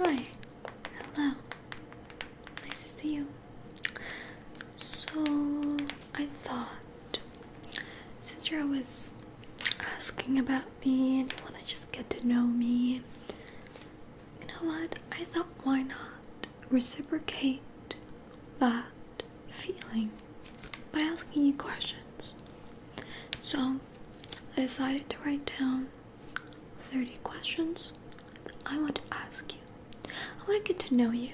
Hi, hello. Nice to see you. So, I thought since you're always asking about me and you want to just get to know me, you know what? I thought why not reciprocate that feeling by asking you questions. So, I decided to write down 30 questions that I want to ask you. I want to get to know you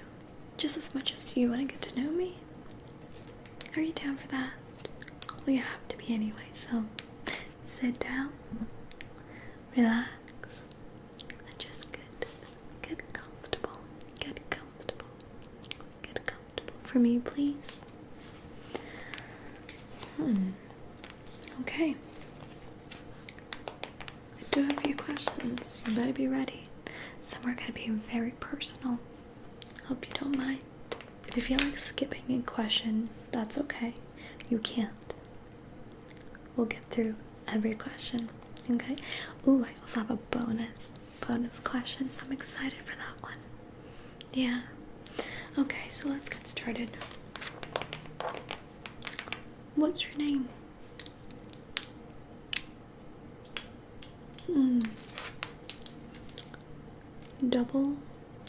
just as much as you want to get to know me. Are you down for that? Well, you have to be anyway, so sit down, relax, and just get, get comfortable, get comfortable. Get comfortable for me, please. Hmm. Okay. I do have a few questions. You better be ready. Some are going to be very personal. Hope you don't mind. If you feel like skipping a question, that's okay. You can't. We'll get through every question. Okay. Ooh, I also have a bonus bonus question, so I'm excited for that one. Yeah. Okay, so let's get started. What's your name? Hmm. Double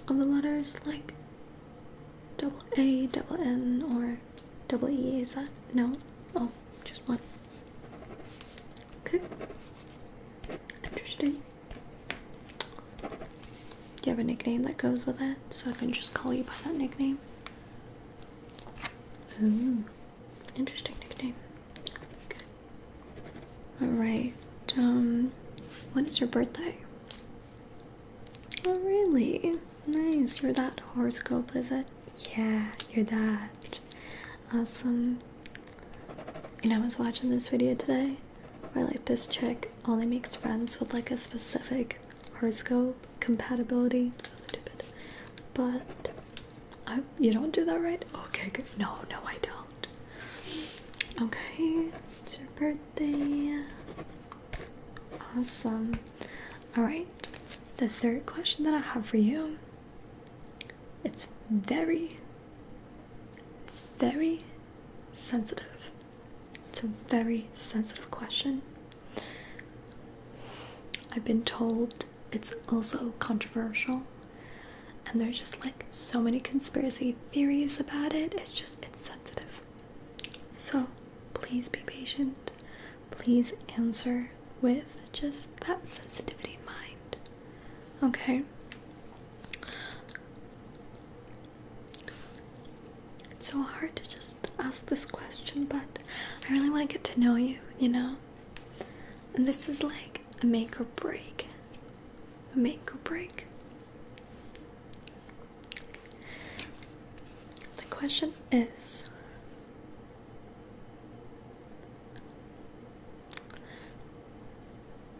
of the letters, like double A, double N, or double E, is that? No? Oh, just one. Okay. Interesting. Do you have a nickname that goes with it? So I can just call you by that nickname. Ooh, interesting nickname. Alright, um, when is your birthday? Oh, really? Nice. You're that horoscope, is it? Yeah, you're that. Awesome. You know, I was watching this video today where like this chick only makes friends with like a specific horoscope compatibility. So stupid. But I you don't do that right? Okay, good. No, no, I don't. Okay, it's your birthday. Awesome. Alright, the third question that I have for you. It's very very sensitive. It's a very sensitive question. I've been told it's also controversial, and there's just like so many conspiracy theories about it. It's just, it's sensitive. So please be patient. Please answer with just that sensitivity mind. Okay. It's so hard to just ask this question, but I really want to get to know you, you know? And this is like a make or break. A make or break. The question is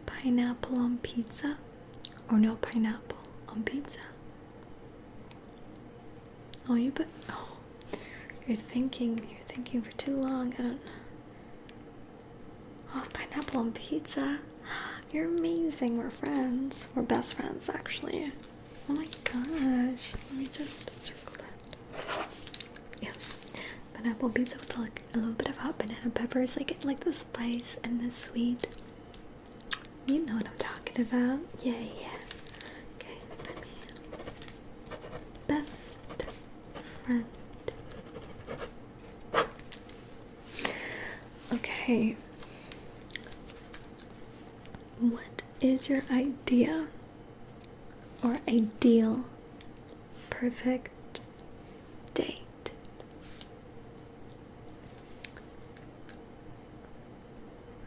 Pineapple on pizza or no pineapple on pizza? Oh, you but oh, you're thinking, you're thinking for too long. I don't know. Oh, pineapple on pizza. You're amazing. We're friends. We're best friends, actually. Oh my gosh. Let me just circle that. Yes. Pineapple pizza with like a little bit of hot banana peppers. I like the spice and the sweet. You know what I'm talking about. Yeah, yeah. Okay, Best friend. Okay. What is your idea or ideal perfect day?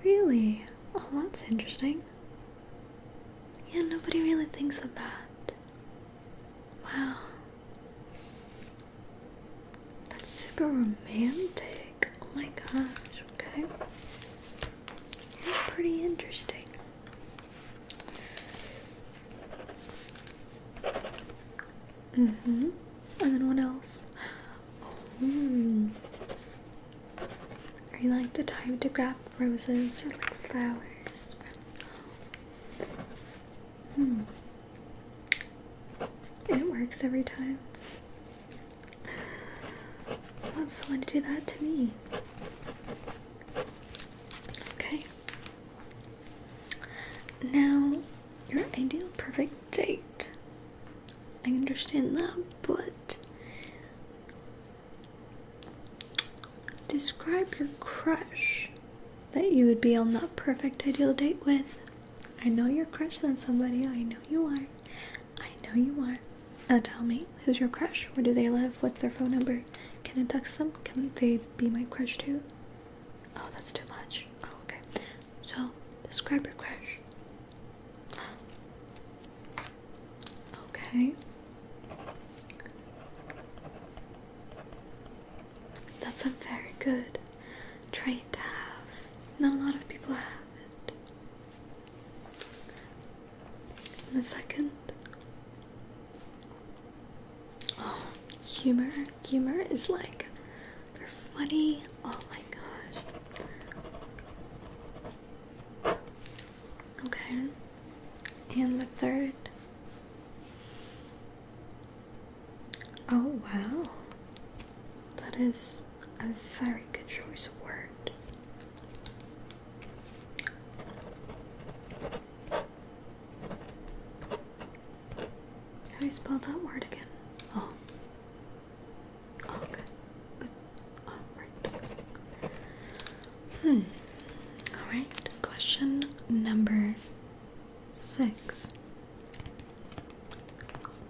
Really? Oh, that's interesting. Yeah, nobody really thinks of that. Wow. That's super romantic. Oh my gosh, okay. pretty interesting. Mm-hmm. And then what else? Oh. Are you like the type to grab roses or like flowers? Hmm. It works every time. I want someone to do that to me. Okay. Now, your ideal perfect date. I understand that, but describe your crush that you would be on that perfect ideal date with. I know you're crushing on somebody, I know you are. I know you are. Now tell me, who's your crush? Where do they live? What's their phone number? Can I text them? Can they be my crush too? Oh, that's too much. Oh, okay. So, describe your crush. Okay. That's a very good trait to have. Not a lot of people have it. In a second humor. Humor is like they're funny. Oh my gosh. Okay. And the third. Oh wow. That is a very good choice of word. How do you spell that word again? Oh. oh okay. Oh, hmm. Alright, question number six.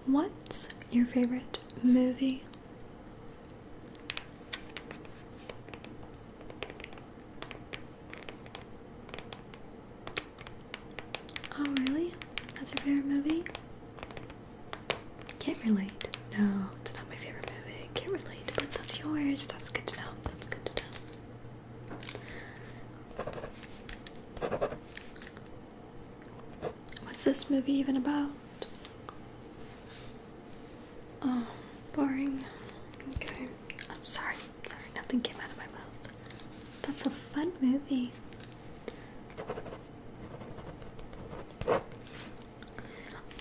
What's your favorite movie? Oh, really? That's your favorite movie? Can't relate. No, it's not my favorite movie. Can't relate. But that's yours. That's good to know. That's good to know. What's this movie even about? Oh, boring. Okay. I'm sorry, sorry, nothing came out of my mouth. That's a fun movie.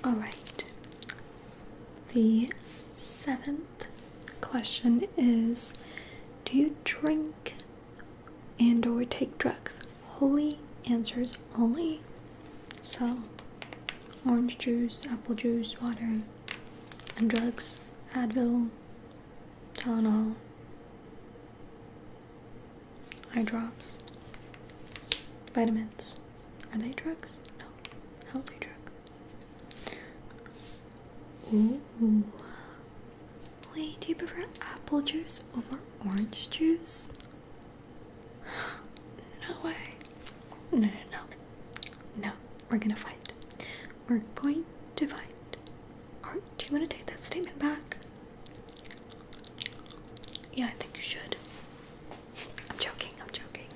Alright, the seventh question is Do you drink and or take drugs? Holy answers only. So, orange juice, apple juice, water, and drugs, Advil, Tylenol, eye drops, vitamins. Are they drugs? No, healthy drug. Ooh. Wait, do you prefer apple juice over orange juice? no way. No, no, no. No, we're gonna fight. We're going to fight. Or do you want to take that statement back? Yeah, I think you should. I'm joking, I'm joking.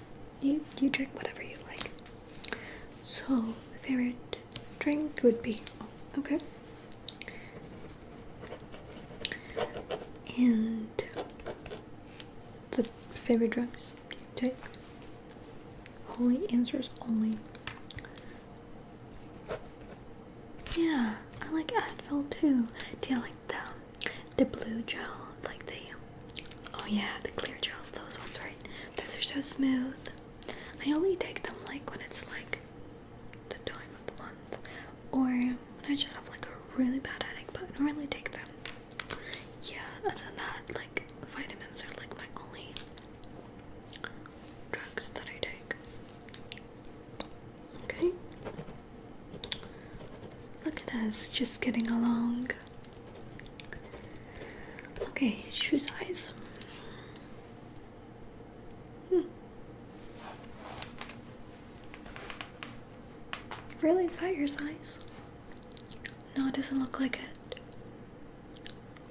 You you drink whatever you like. So favorite drink would be oh, okay. And the favorite drugs? do take? Holy answers only. Yeah, I like Advil too. Do you like the the blue gel? Like the oh yeah, the clear gels, those ones, right? Those are so smooth. I only take them like when it's like the time of the month, or when I just have like a really bad headache. But I don't really take them yeah, other than that, like vitamins are like my only drugs that I take. Okay. Look at us just getting along. Okay, shoe size. Hmm. Really, is that your size? No, it doesn't look like it.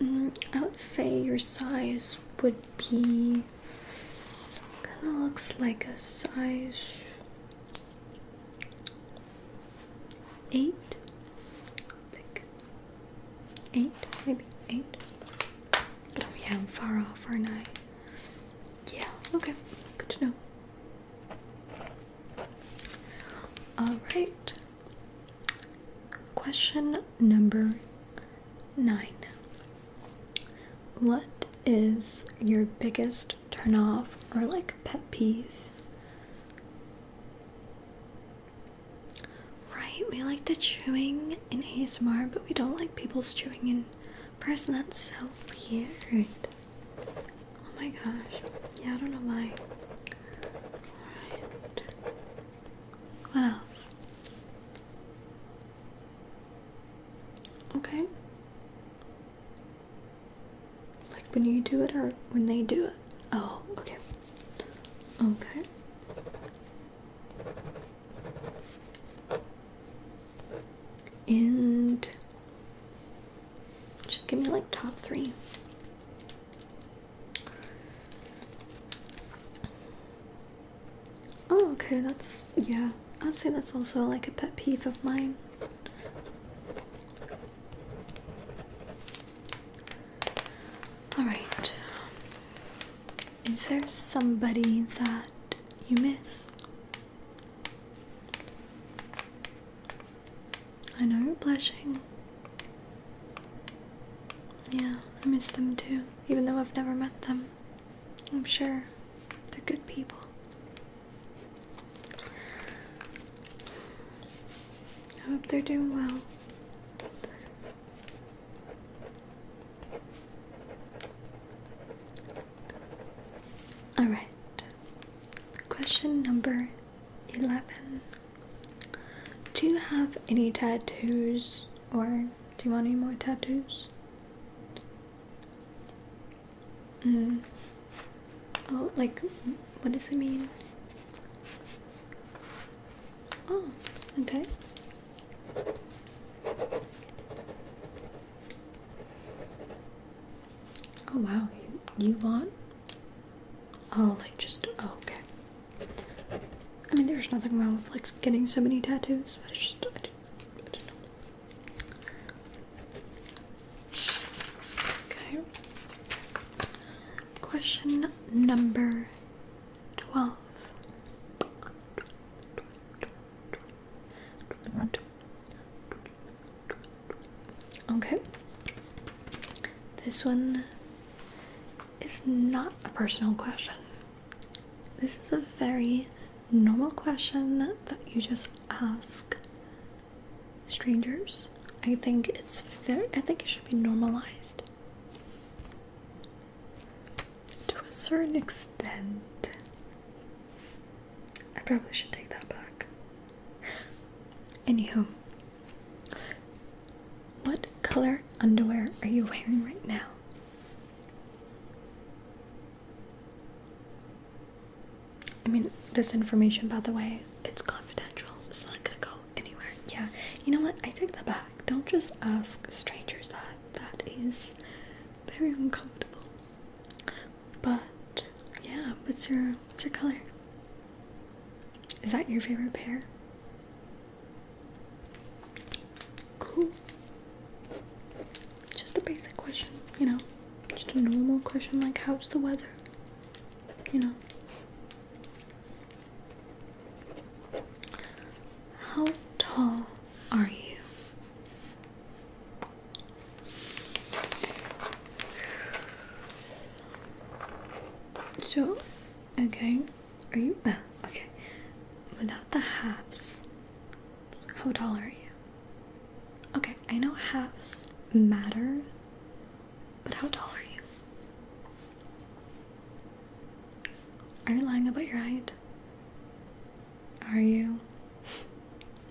Mm, I would say your size would be. Kind of looks like a size. Eight, I think. Eight, maybe eight. But oh yeah, I'm far off, aren't I? Yeah, okay, good to know. Alright, Question number nine What is your biggest turn off or like pet peeve? Right, we like the chewing in ASMR, but we don't like people's chewing in person. That's so weird. Oh my gosh. Yeah, I don't know why. Alright. What else? Okay. Like when you do it or when they do it? Oh, okay. Okay. And just give me like top three. Oh, okay, that's yeah. I'd say that's also like a pet peeve of mine. Alright. Is there somebody that you miss? I know, you're blushing. Yeah, I miss them too, even though I've never met them. I'm sure they're good people. I hope they're doing well. Alright, question number 11. Do you have any tattoos or do you want any more tattoos? Mm. Oh, like, what does it mean? Oh, okay. Oh wow, you, you want Oh, like just oh, okay. I mean, there's nothing wrong with like getting so many tattoos, but it's just I don't, know. Okay. Question number twelve. Okay. This one is not a personal question. This is a very normal question that you just ask strangers. I think it's very I think it should be normalized. To a certain extent. I probably should take that back. Anyhow. What color underwear are you wearing right now? I mean, this information, by the way, it's confidential. It's not gonna go anywhere. Yeah, you know what? I take that back. Don't just ask strangers that. That is very uncomfortable. But yeah, what's your what's your color? Is that your favorite pair? Cool. Just a basic question, you know? Just a normal question like, how's the weather? You know? How tall are you? So, okay, are you uh, okay? Without the halves, how tall are you? Okay, I know halves matter, but how tall are you? Are you lying about your height? Are you?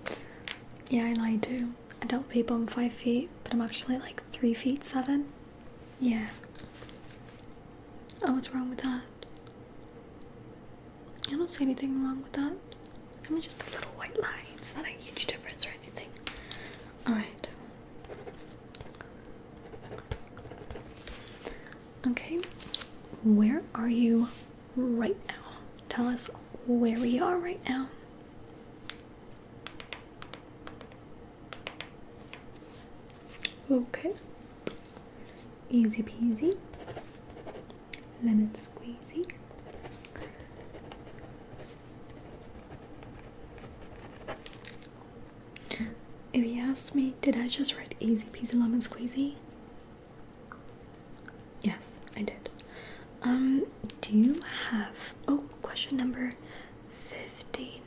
Yeah, I lied too um, adult people I'm five feet, but I'm actually like three feet seven. Yeah. Oh, what's wrong with that? I don't see anything wrong with that. I am just a little white line. It's not a huge difference or anything. Alright. Okay. Where are you right now? Tell us where we are right now. Okay. Easy peasy. Lemon squeezy. If you ask me, did I just write easy peasy lemon squeezy? Yes, I did. Um, do you have oh question number fifteen,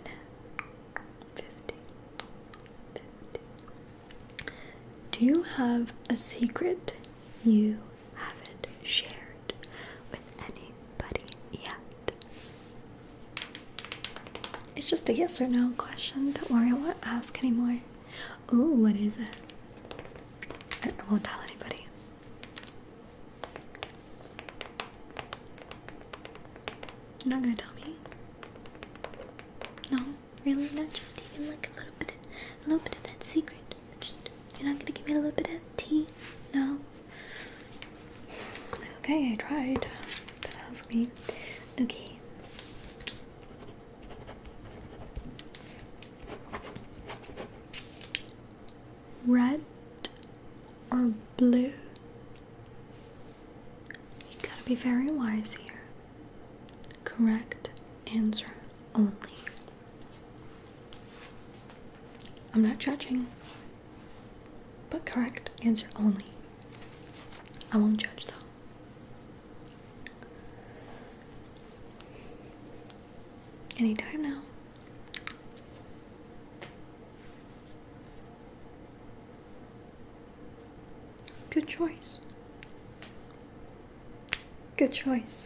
fifteen, fifteen. Do you have a secret you haven't shared with anybody yet? It's just a yes or no question. Don't worry, I won't ask anymore. Ooh, what is it? I won't tell anybody. You're not gonna tell me? No, really? Not just even like a little bit, of, a little bit of that secret. Just you're not gonna give me a little bit of tea? No. Okay, I tried. do ask me. Okay red or blue? You gotta be very wise here. Correct answer only. I'm not judging, but correct answer only. I won't judge though. Anytime now. Good choice. Good choice.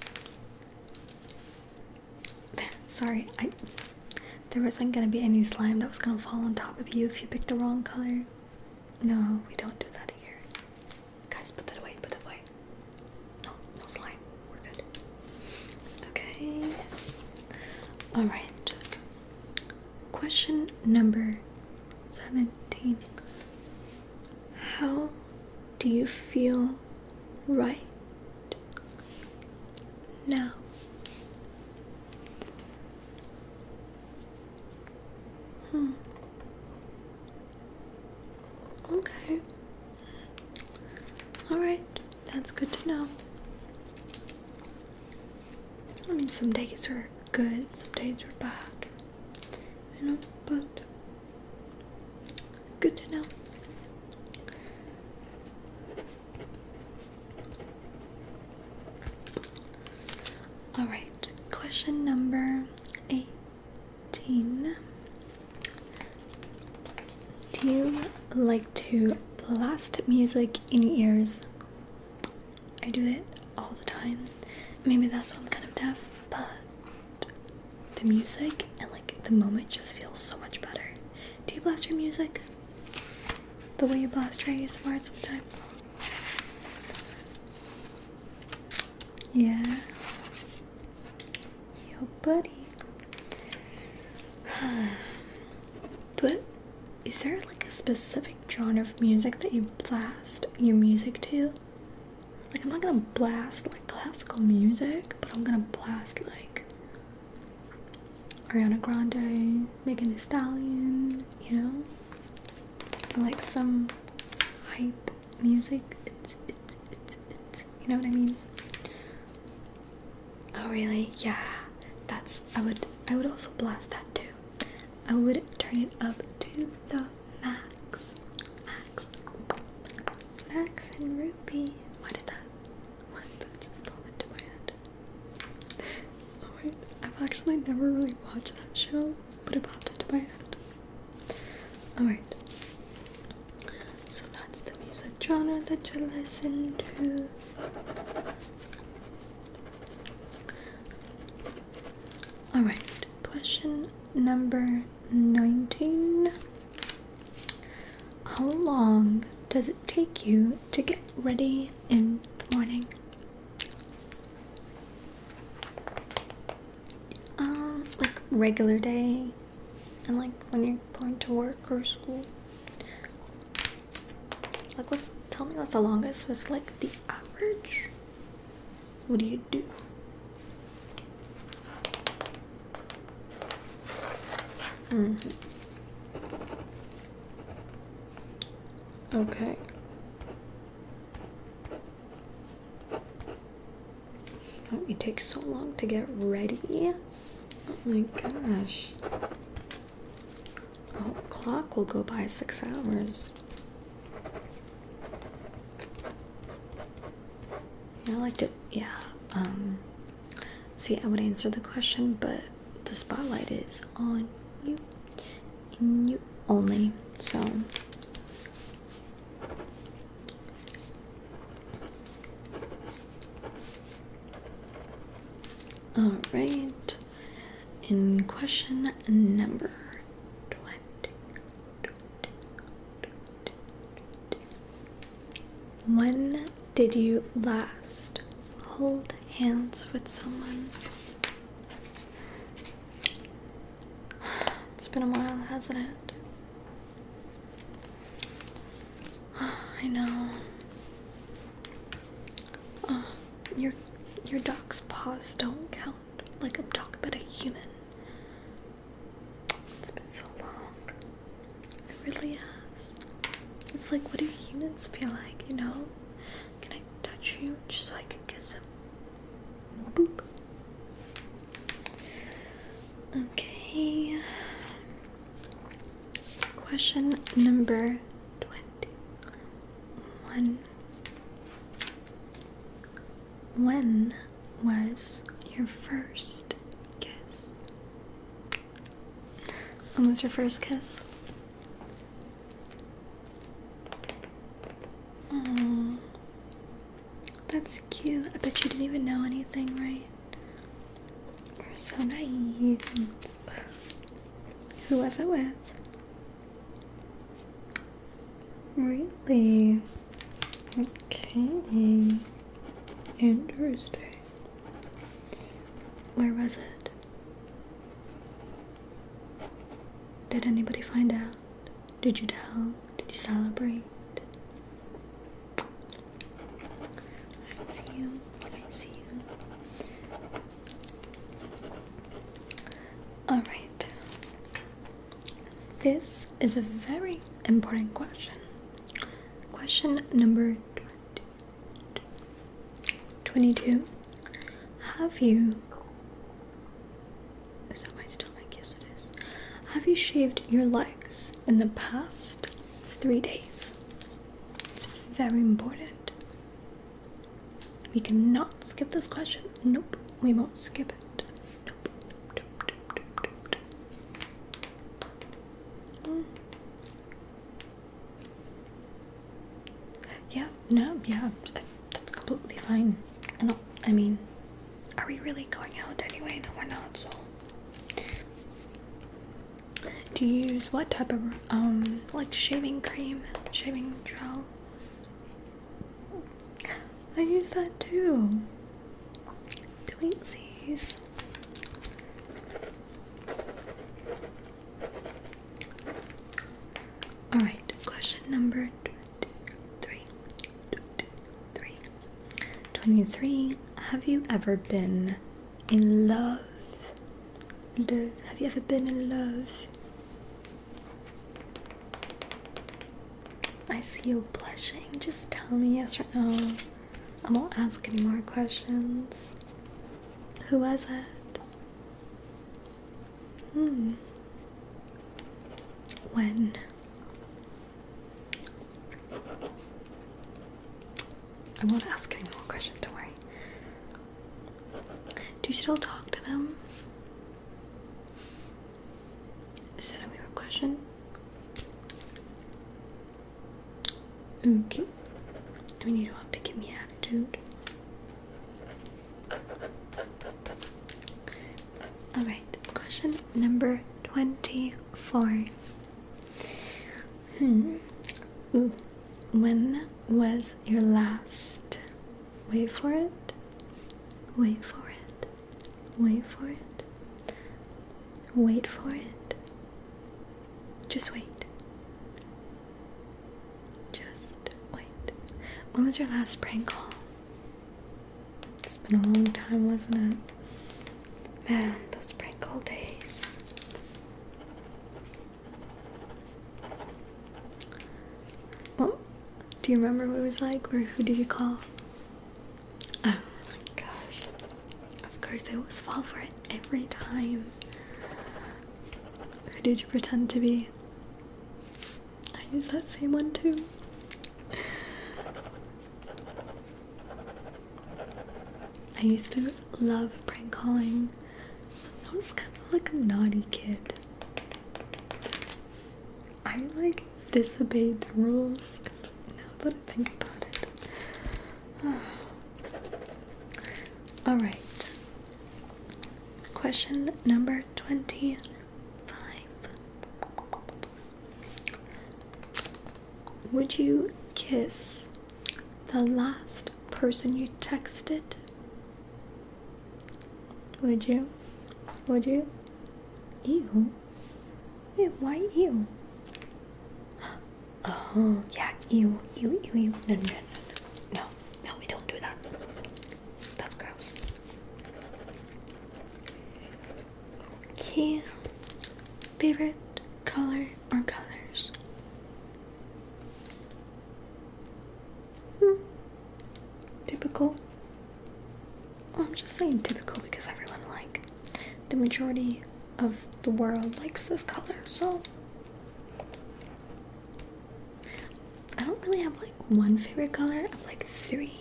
Sorry, I there wasn't gonna be any slime that was gonna fall on top of you if you picked the wrong color. No, we don't do that here. Guys, put that away, put that away. No, no slime we're good. Okay. All right. Question number 17. How do you feel right now? Hmm. Okay. Alright, that's good to know. I mean, some days are good, some days are bad. You know, but good to know. Alright, question number 18. Do you like to blast music in your ears? I do it all the time. Maybe that's why I'm kind of deaf, but the music and like the moment just feels so much better. Do you blast your music? The way you blast your ASMR sometimes? Yeah. Yo, buddy. but is there like a specific genre of music that you blast your music to? Like, I'm not gonna blast like classical music, but I'm gonna blast like Ariana Grande, Megan Thee Stallion, you know? like some hype music. It's, it's, it's, it's, you know what I mean? Oh really? Yeah. That's I would I would also blast that too. I would turn it up to the max. Max. Max and Ruby. Why did that why just fall into my head? oh wait, I've actually never really watched that show, but it popped into my head. Alright. So that's the music genre that you listen to. Alright, question number 19. How long does it take you to get ready in the morning? Um, like regular day, and like when you're going to work or school. Like, what's tell me what's the longest? What's like the average? What do you do? Mm -hmm. Okay. Oh, it takes so long to get ready. Oh my gosh. The oh, clock will go by six hours. I like to, yeah. Um, see, I would answer the question, but the spotlight is on you and you only. So, all right. In question number 20. When did you last hold hands with someone? It's been a while, hasn't it? I know. Uh, your your dog's paws don't count. Like I'm talking about a human. It's been so long. It really has. It's like, what do humans feel like? You know? Can I touch you just so I can kiss him? Okay. Question number 21. When was your first kiss? When was your first kiss? Oh, that's cute. I bet you didn't even know anything, right? You're so naive. Who was it with? Really? Okay. Interesting. Where was it? Did anybody find out? Did you tell? Did you celebrate? I see you. I see you. All right. This is a very important question. Question number 22. Have you. Is that my stomach? Yes, it is. Have you shaved your legs in the past three days? It's very important. We cannot skip this question. Nope, we won't skip it. Nope. nope, nope, Yeah, no, yeah, that's completely fine. And I mean, are we really going out anyway? No, we're not, so do you use what type of um like shaving cream, shaving gel? I use that too. Twinsies. All right, question number three. Twenty-three. Have you ever been in love. Love. Have you ever been in love? I see you blushing. Just tell me yes or no. I won't ask any more questions. Who was it? Hmm. When? I won't ask any more questions, don't Do you still talk to them? Is that a weird question? Okay. I mean, you don't have to give me attitude. Alright, question number 24. Hmm. Ooh. When was your last? Wait for it. Wait for it. Wait for it. Wait for it. Just wait. Just wait. When was your last prank call? It's been a long time, wasn't it? Man, those sprinkle days. Well, do you remember what it was like, or who did you call? Oh my gosh. Of course, I always fall for it every time. Who did you pretend to be? I used that same one too. I used to love prank calling. I was kind of like a naughty kid. I like disobeyed the rules now that I think about it. Alright. Question number 25. Would you kiss the last person you texted? Would you? Would you? Ew. Ew, why ew? Oh, yeah, ew, ew, ew, ew. No, no, no, no. No, no, we don't do that. That's gross. Okay. Favorite color or colors? Hmm. Typical. I'm just saying typical because everyone, like, the majority of the world likes this color, so. I don't really have, like, one favorite color. I have, like, three,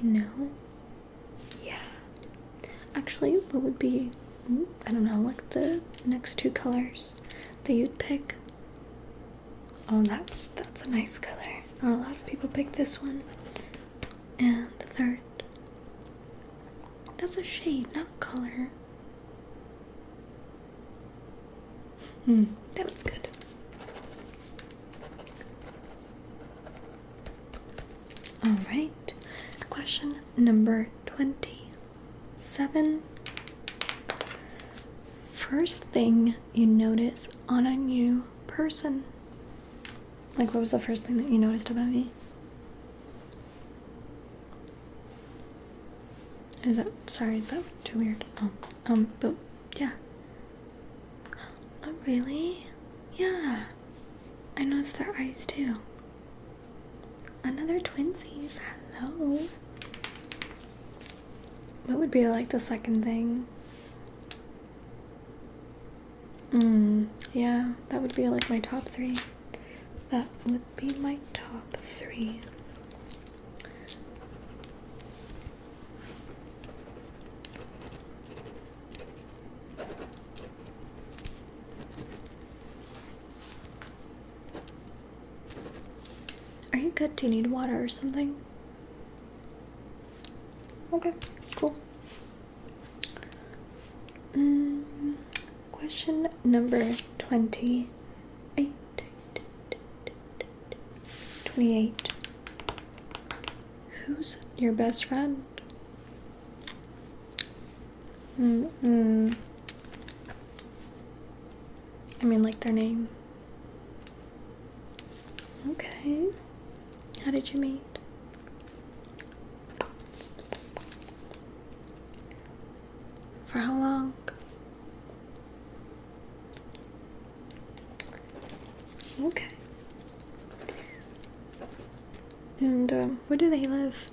you know? Yeah. Actually, what would be, hmm, I don't know, like the next two colors that you'd pick? Oh, that's that's a nice color. Not a lot of people pick this one. And the third. That's a shade, not color. Hmm, that one's good. Alright, question number 20. Seven. First thing you notice on a new person. Like, what was the first thing that you noticed about me? Is that sorry? Is that too weird? No. Oh, um, but yeah. Oh, really? Yeah. I noticed their eyes too. Another twinsies. Hello. What would be like the second thing? Mm, yeah, that would be like my top three. That would be my top three. Are you good? Do you need water or something? Okay, cool. Mm, question number 28. 28. Who's your best friend? Mm -mm. I mean, like their name. Okay. How did you meet? For how long? Okay. And um, where do they live?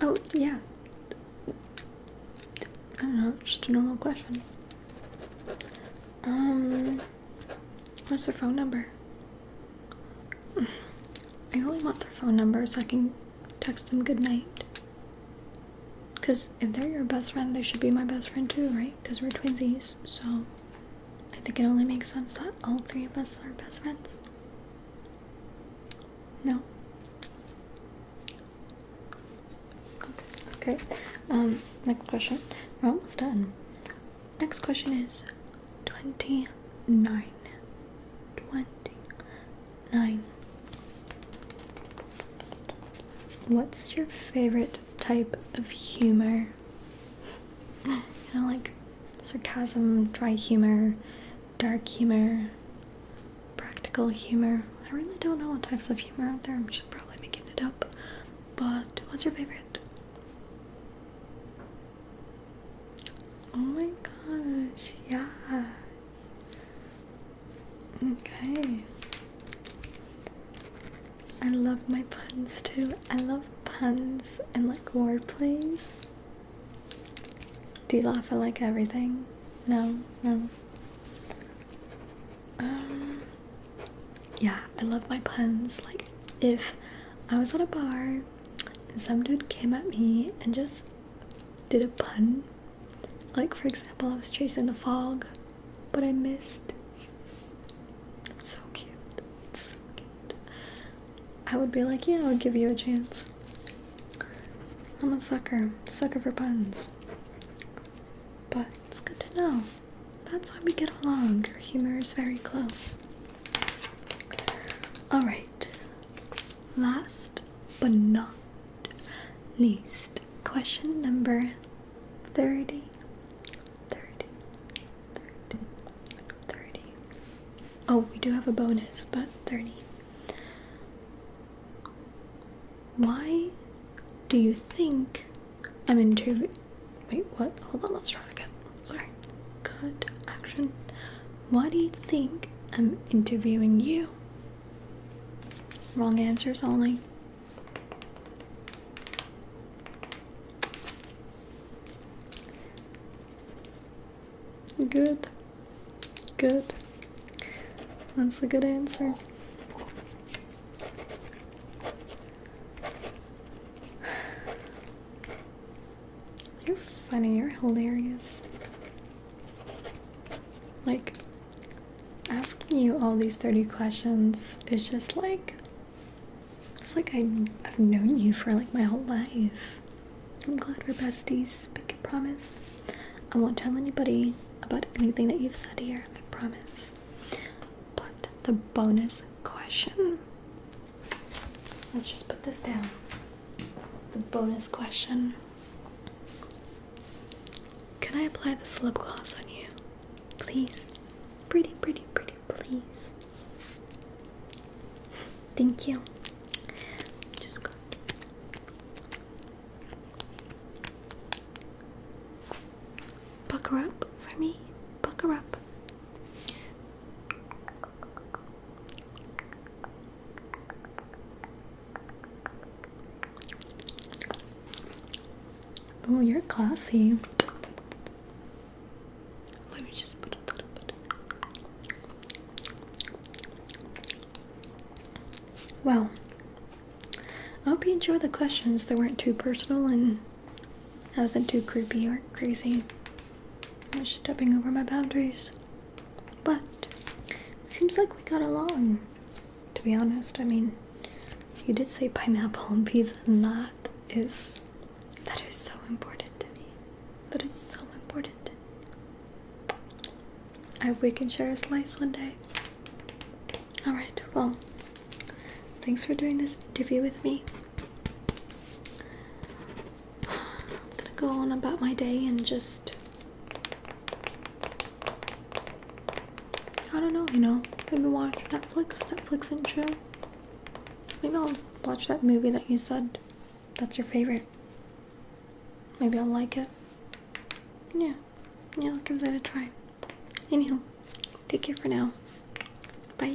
Oh, yeah. I don't know, just a normal question. Um, what's their phone number? I only want their phone number so I can text them good night. Because if they're your best friend, they should be my best friend too, right? Because we're twinsies, so I think it only makes sense that all three of us are best friends. No. Okay. Um, next question. We're almost done. Next question is 29. 29. What's your favorite type of humor. You know, like sarcasm, dry humor, dark humor, practical humor. I really don't know what types of humor out there. I'm just probably making it up. But what's your favorite? Oh my gosh, yes. Okay. I love my puns too. I love puns and like word plays. Do you laugh at like everything? No, no. Um, yeah, I love my puns. Like, if I was at a bar and some dude came at me and just did a pun, like for example, I was chasing the fog, but I missed. It's so cute. I would be like, yeah, I would give you a chance. I'm a sucker, sucker for puns. But it's good to know. That's why we get along. Our humor is very close. Alright. Last but not least, question number 30. 30, Oh, we do have a bonus, but 30. Why do you think I'm interviewing? Wait, what? Hold on, let's try again. Sorry. Good action. Why do you think I'm interviewing you? Wrong answers only. Good. Good. That's a good answer. You're funny, you're hilarious. Like, asking you all these 30 questions is just like it's like I, have known you for like my whole life. I'm glad we're besties, Make a promise I won't tell anybody about anything that you've said here, I promise. But the bonus question let's just put this down. The bonus question Can I apply the lip gloss on you? Please. Pretty, pretty, pretty please. Thank you. Just go. Pucker up for me. Pucker up. Oh, you're classy. Let me just put a little bit. Well, I hope you enjoyed the questions. They weren't too personal and I wasn't too creepy or crazy. i was just stepping over my boundaries. But seems like we got along. To be honest, I mean, you did say pineapple and pizza, and that is that is so important to me. That is so important. I we can share a slice one day. Alright, well, thanks for doing this interview with me. I'm gonna go on about my day and just. I don't know, you know, maybe watch Netflix, Netflix and chill. Maybe I'll watch that movie that you said that's your favorite. Maybe I'll like it. Yeah. Yeah, I'll give that a try. Anyhow, take care for now. Bye.